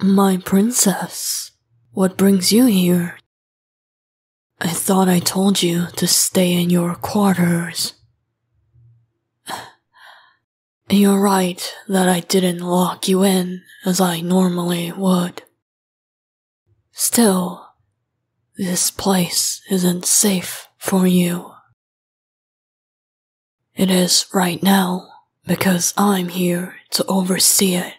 My princess, what brings you here? I thought I told you to stay in your quarters. You're right that I didn't lock you in as I normally would. Still, this place isn't safe for you. It is right now because I'm here to oversee it.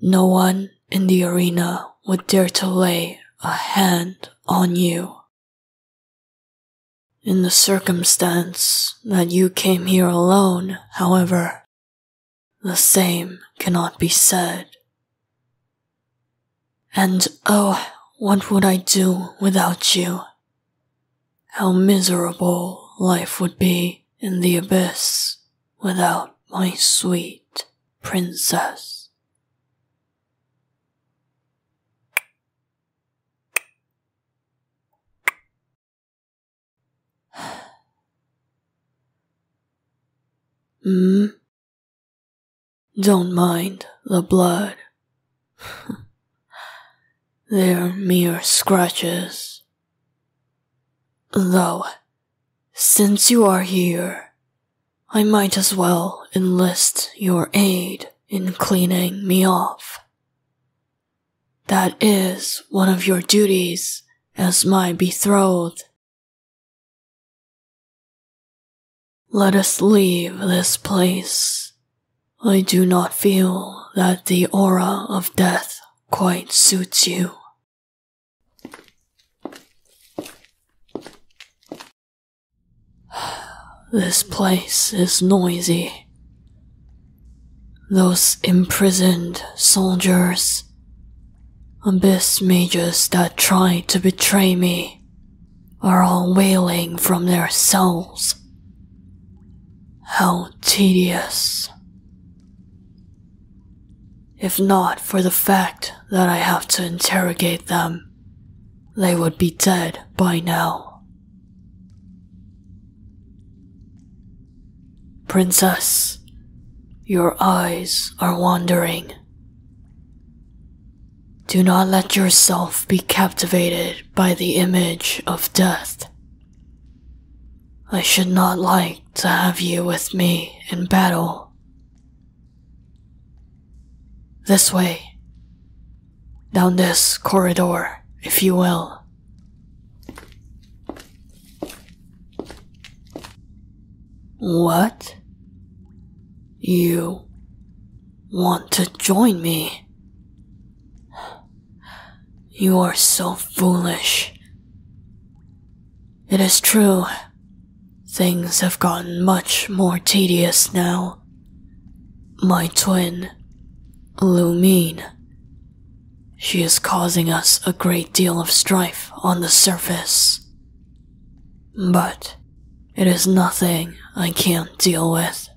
No one in the arena would dare to lay a hand on you. In the circumstance that you came here alone, however, the same cannot be said. And oh, what would I do without you how miserable life would be in the abyss without my sweet princess. hmm? Don't mind the blood They're mere scratches. Though, since you are here, I might as well enlist your aid in cleaning me off. That is one of your duties as my betrothed. Let us leave this place. I do not feel that the aura of death quite suits you. This place is noisy. Those imprisoned soldiers, abyss mages that tried to betray me, are all wailing from their souls. How tedious. If not for the fact that I have to interrogate them, they would be dead by now. Princess, your eyes are wandering. Do not let yourself be captivated by the image of death. I should not like to have you with me in battle. This way. Down this corridor, if you will. What? You want to join me? You are so foolish. It is true. Things have gotten much more tedious now. My twin, Lumine, she is causing us a great deal of strife on the surface. But it is nothing I can't deal with.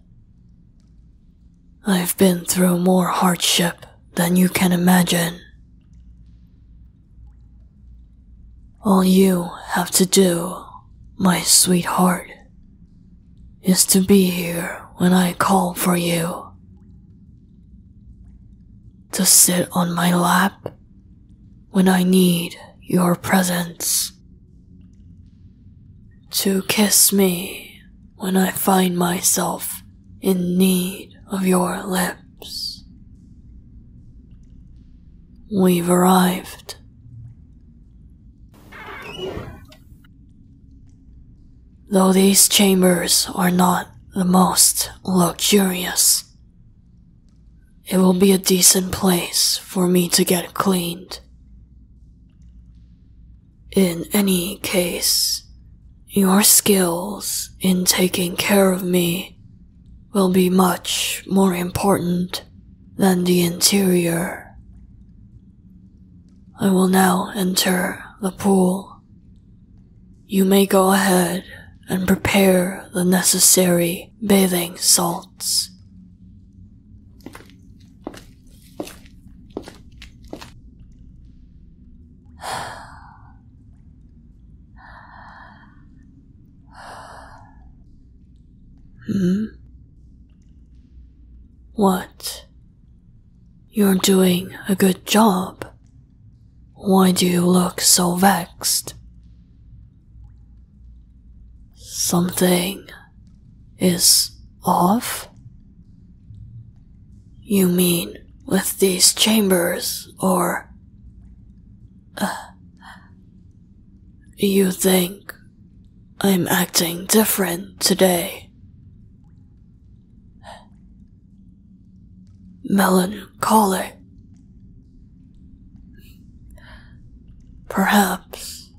I've been through more hardship than you can imagine. All you have to do, my sweetheart, is to be here when I call for you. To sit on my lap when I need your presence. To kiss me when I find myself in need of your lips. We've arrived. Though these chambers are not the most luxurious it will be a decent place for me to get cleaned. In any case, your skills in taking care of me will be much more important than the interior. I will now enter the pool. You may go ahead and prepare the necessary bathing salts. hmm? What? You're doing a good job, why do you look so vexed? Something is off? You mean with these chambers, or. Uh, you think I'm acting different today? melancholic. Perhaps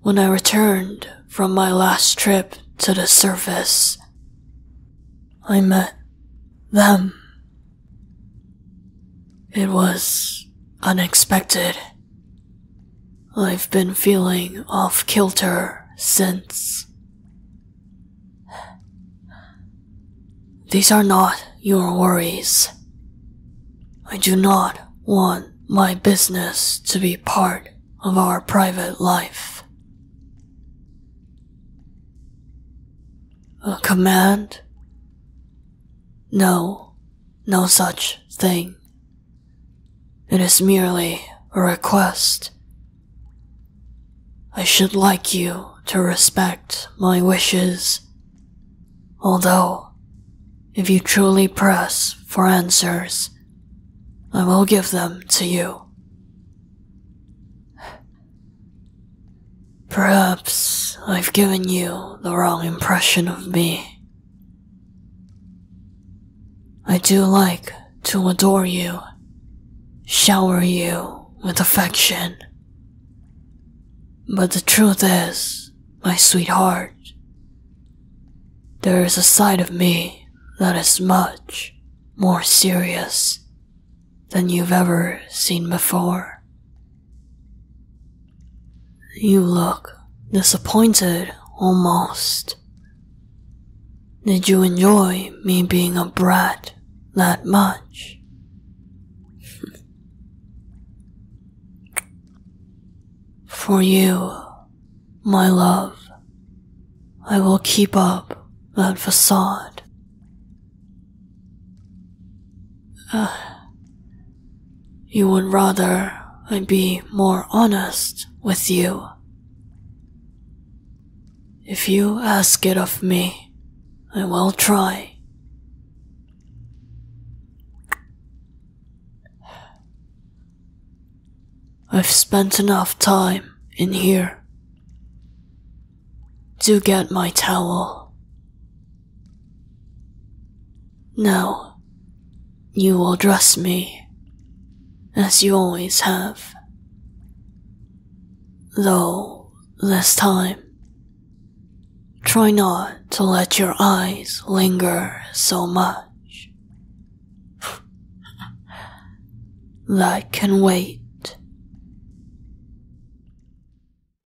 when I returned from my last trip to the surface, I met them. It was unexpected. I've been feeling off kilter since. These are not your worries. I do not want my business to be part of our private life. A command? No, no such thing it is merely a request. I should like you to respect my wishes. Although, if you truly press for answers, I will give them to you. Perhaps I've given you the wrong impression of me. I do like to adore you, shower you with affection. But the truth is, my sweetheart, there is a side of me that is much more serious than you've ever seen before. You look disappointed almost. Did you enjoy me being a brat that much? For you, my love, I will keep up that facade. Uh, you would rather I be more honest with you. If you ask it of me, I will try. I've spent enough time in here to get my towel. No, you will dress me as you always have. Though this time, try not to let your eyes linger so much. that can wait.